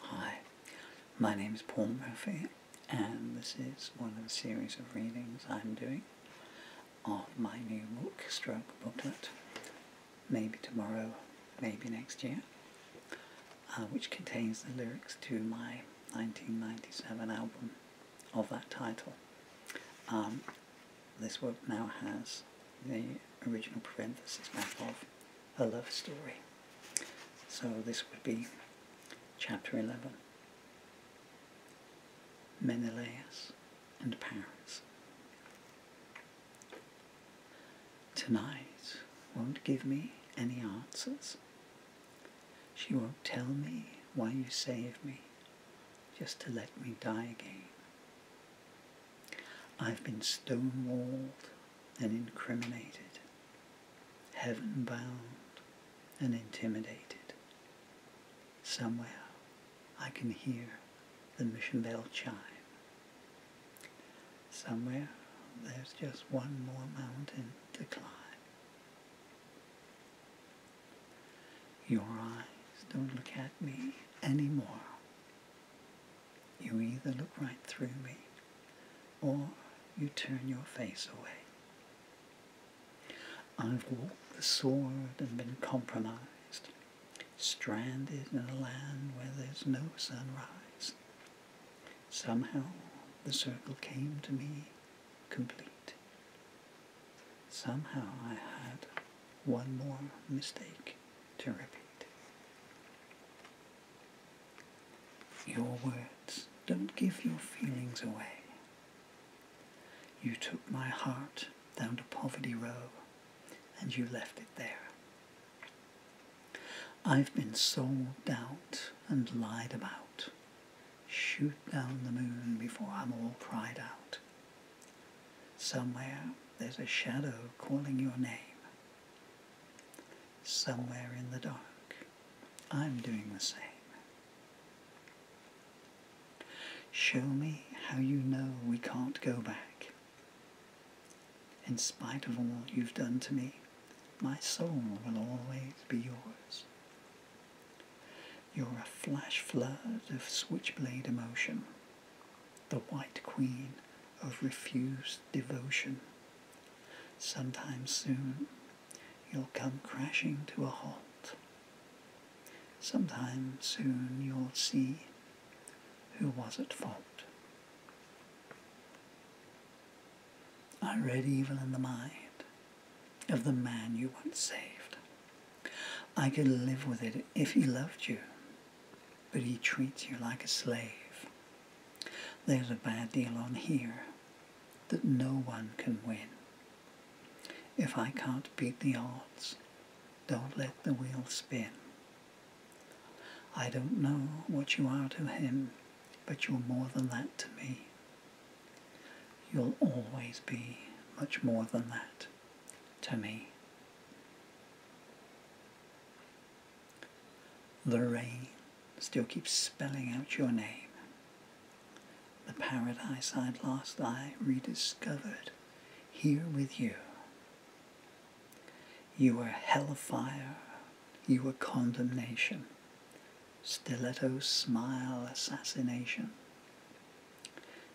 Hi, my name is Paul Murphy, and this is one of a series of readings I'm doing of my new book, Stroke Booklet, maybe tomorrow, maybe next year, uh, which contains the lyrics to my 1997 album of that title. Um, this work now has the original parenthesis map of a love story. So this would be chapter 11. Menelaus and Paris. Tonight won't give me any answers. She won't tell me why you saved me, just to let me die again. I've been stonewalled and incriminated, heaven bound and intimidated. Somewhere I can hear the mission bell chime. Somewhere there's just one more mountain to climb. Your eyes don't look at me anymore. You either look right through me or you turn your face away. I've walked the sword and been compromised, stranded in a land where there's no sunrise. Somehow the circle came to me complete. Somehow I had one more mistake to repeat. Your words don't give your feelings away. You took my heart down to Poverty Row and you left it there. I've been sold out and lied about. Shoot down the moon before I'm all cried out. Somewhere there's a shadow calling your name. Somewhere in the dark, I'm doing the same. Show me how you know we can't go back. In spite of all you've done to me, my soul will always be yours. You're a flash flood of switchblade emotion the White Queen of refused devotion. Sometime soon you'll come crashing to a halt. Sometime soon you'll see who was at fault. I read evil in the mind of the man you once saved. I could live with it if he loved you, but he treats you like a slave. There's a bad deal on here that no one can win. If I can't beat the odds, don't let the wheel spin. I don't know what you are to him, but you're more than that to me. You'll always be much more than that to me. The rain still keeps spelling out your name. The paradise I'd lost, I rediscovered here with you. You were hellfire, you were condemnation, stiletto smile assassination,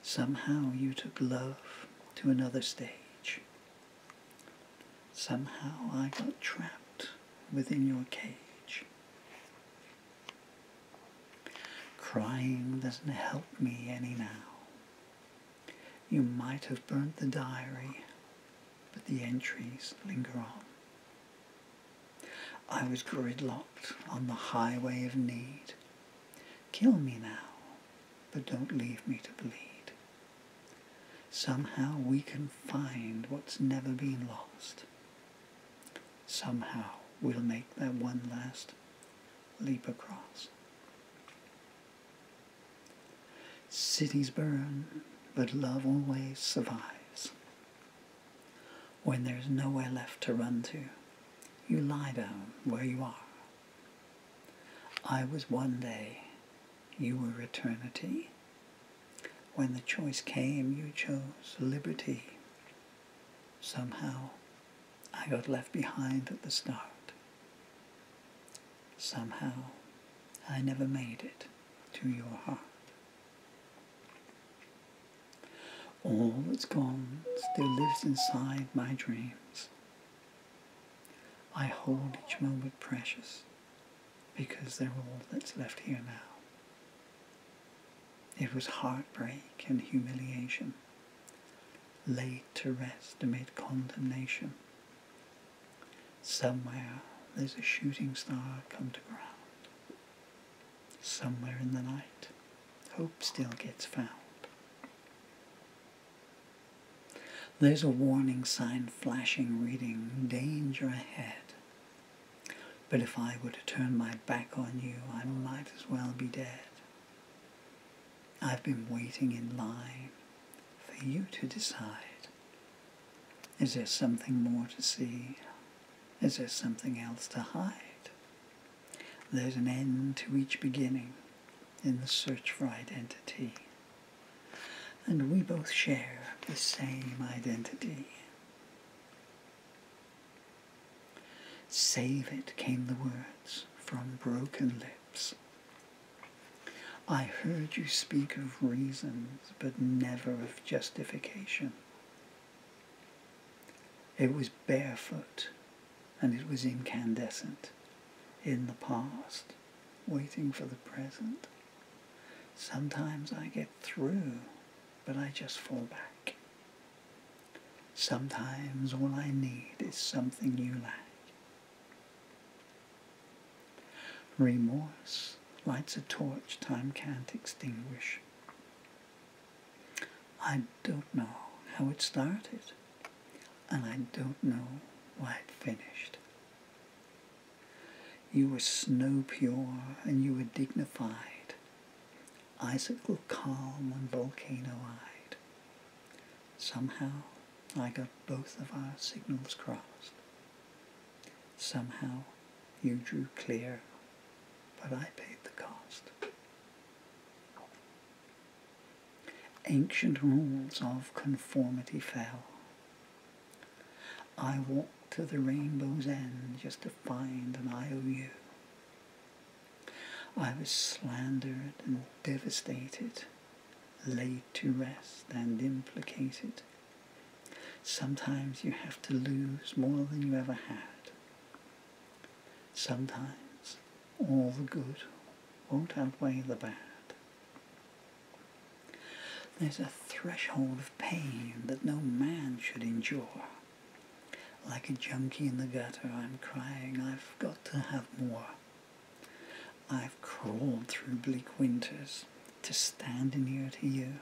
Somehow you took love to another stage. Somehow I got trapped within your cage. Crying doesn't help me any now. You might have burnt the diary, but the entries linger on. I was gridlocked on the highway of need. Kill me now, but don't leave me to bleed. Somehow we can find what's never been lost. Somehow we'll make that one last leap across. Cities burn, but love always survives. When there's nowhere left to run to, you lie down where you are I was one day, you were eternity. When the choice came, you chose liberty. Somehow, I got left behind at the start. Somehow, I never made it to your heart. All that's gone still lives inside my dreams. I hold each moment precious because they're all that's left here now. It was heartbreak and humiliation, laid to rest amid condemnation. Somewhere there's a shooting star come to ground, somewhere in the night hope still gets found. There's a warning sign flashing reading, danger ahead. But if I were to turn my back on you, I might as well be dead. I've been waiting in line for you to decide. Is there something more to see? Is there something else to hide? There's an end to each beginning in the search for identity. And we both share the same identity. Save it came the words from broken lips. I heard you speak of reasons, but never of justification. It was barefoot and it was incandescent in the past, waiting for the present. Sometimes I get through, but I just fall back. Sometimes all I need is something you lack. Remorse lights a torch time can't extinguish. I don't know how it started, and I don't know why it finished. You were snow pure and you were dignified, icicle calm and volcano eyed. Somehow I got both of our signals crossed. Somehow you drew clear, but I paid the cost. Ancient rules of conformity fell. I walked to the rainbow's end just to find an IOU. I was slandered and devastated, laid to rest and implicated. Sometimes you have to lose more than you ever had. Sometimes all the good won't outweigh the bad. There's a threshold of pain that no man should endure. Like a junkie in the gutter, I'm crying, I've got to have more. I've crawled through bleak winters to stand near to you.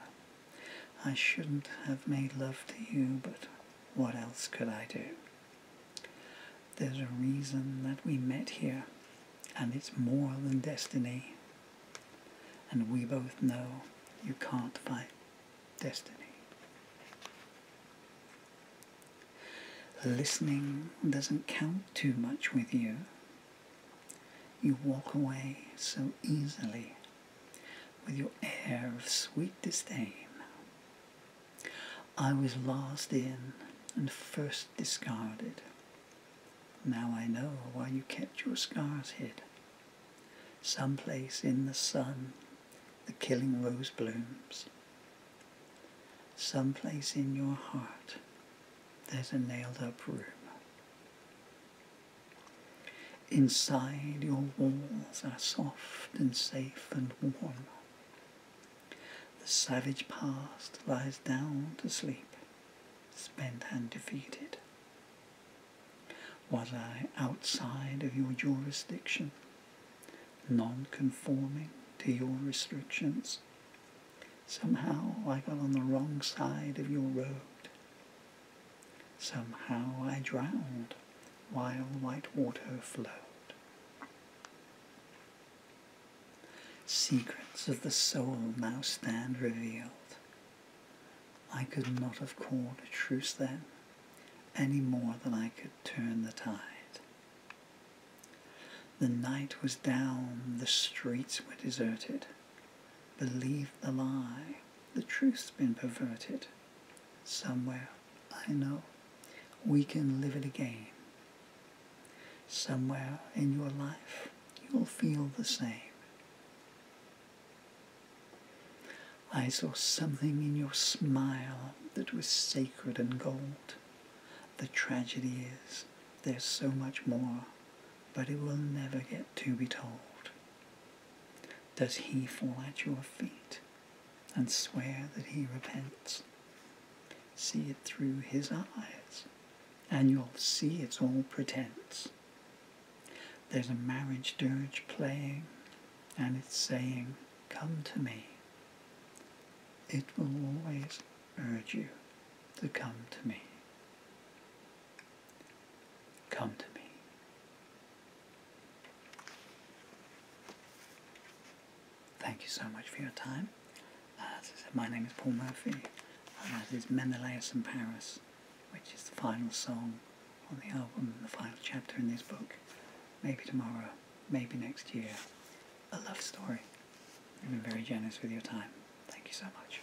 I shouldn't have made love to you, but what else could I do? There's a reason that we met here, and it's more than destiny. And we both know you can't fight destiny. Listening doesn't count too much with you. You walk away so easily with your air of sweet disdain. I was last in and first discarded. Now I know why you kept your scars hid. Someplace in the sun, the killing rose blooms. Someplace in your heart, there's a nailed up room. Inside, your walls are soft and safe and warm. The savage past lies down to sleep, spent and defeated. Was I outside of your jurisdiction, non-conforming to your restrictions? Somehow I got on the wrong side of your road. Somehow I drowned while white water flowed. Secrets of the soul now stand revealed. I could not have called a truce then, any more than I could turn the tide. The night was down, the streets were deserted. Believe the lie, the truth's been perverted. Somewhere, I know, we can live it again. Somewhere in your life, you'll feel the same. I saw something in your smile that was sacred and gold. The tragedy is, there's so much more, but it will never get to be told. Does he fall at your feet and swear that he repents? See it through his eyes, and you'll see it's all pretense. There's a marriage dirge playing, and it's saying, Come to me. It will always urge you to come to me. Come to me. Thank you so much for your time. Uh, my name is Paul Murphy, This is Menelaus in Paris, which is the final song on the album, the final chapter in this book. Maybe tomorrow, maybe next year. A love story. i have been very generous with your time. Thank you so much.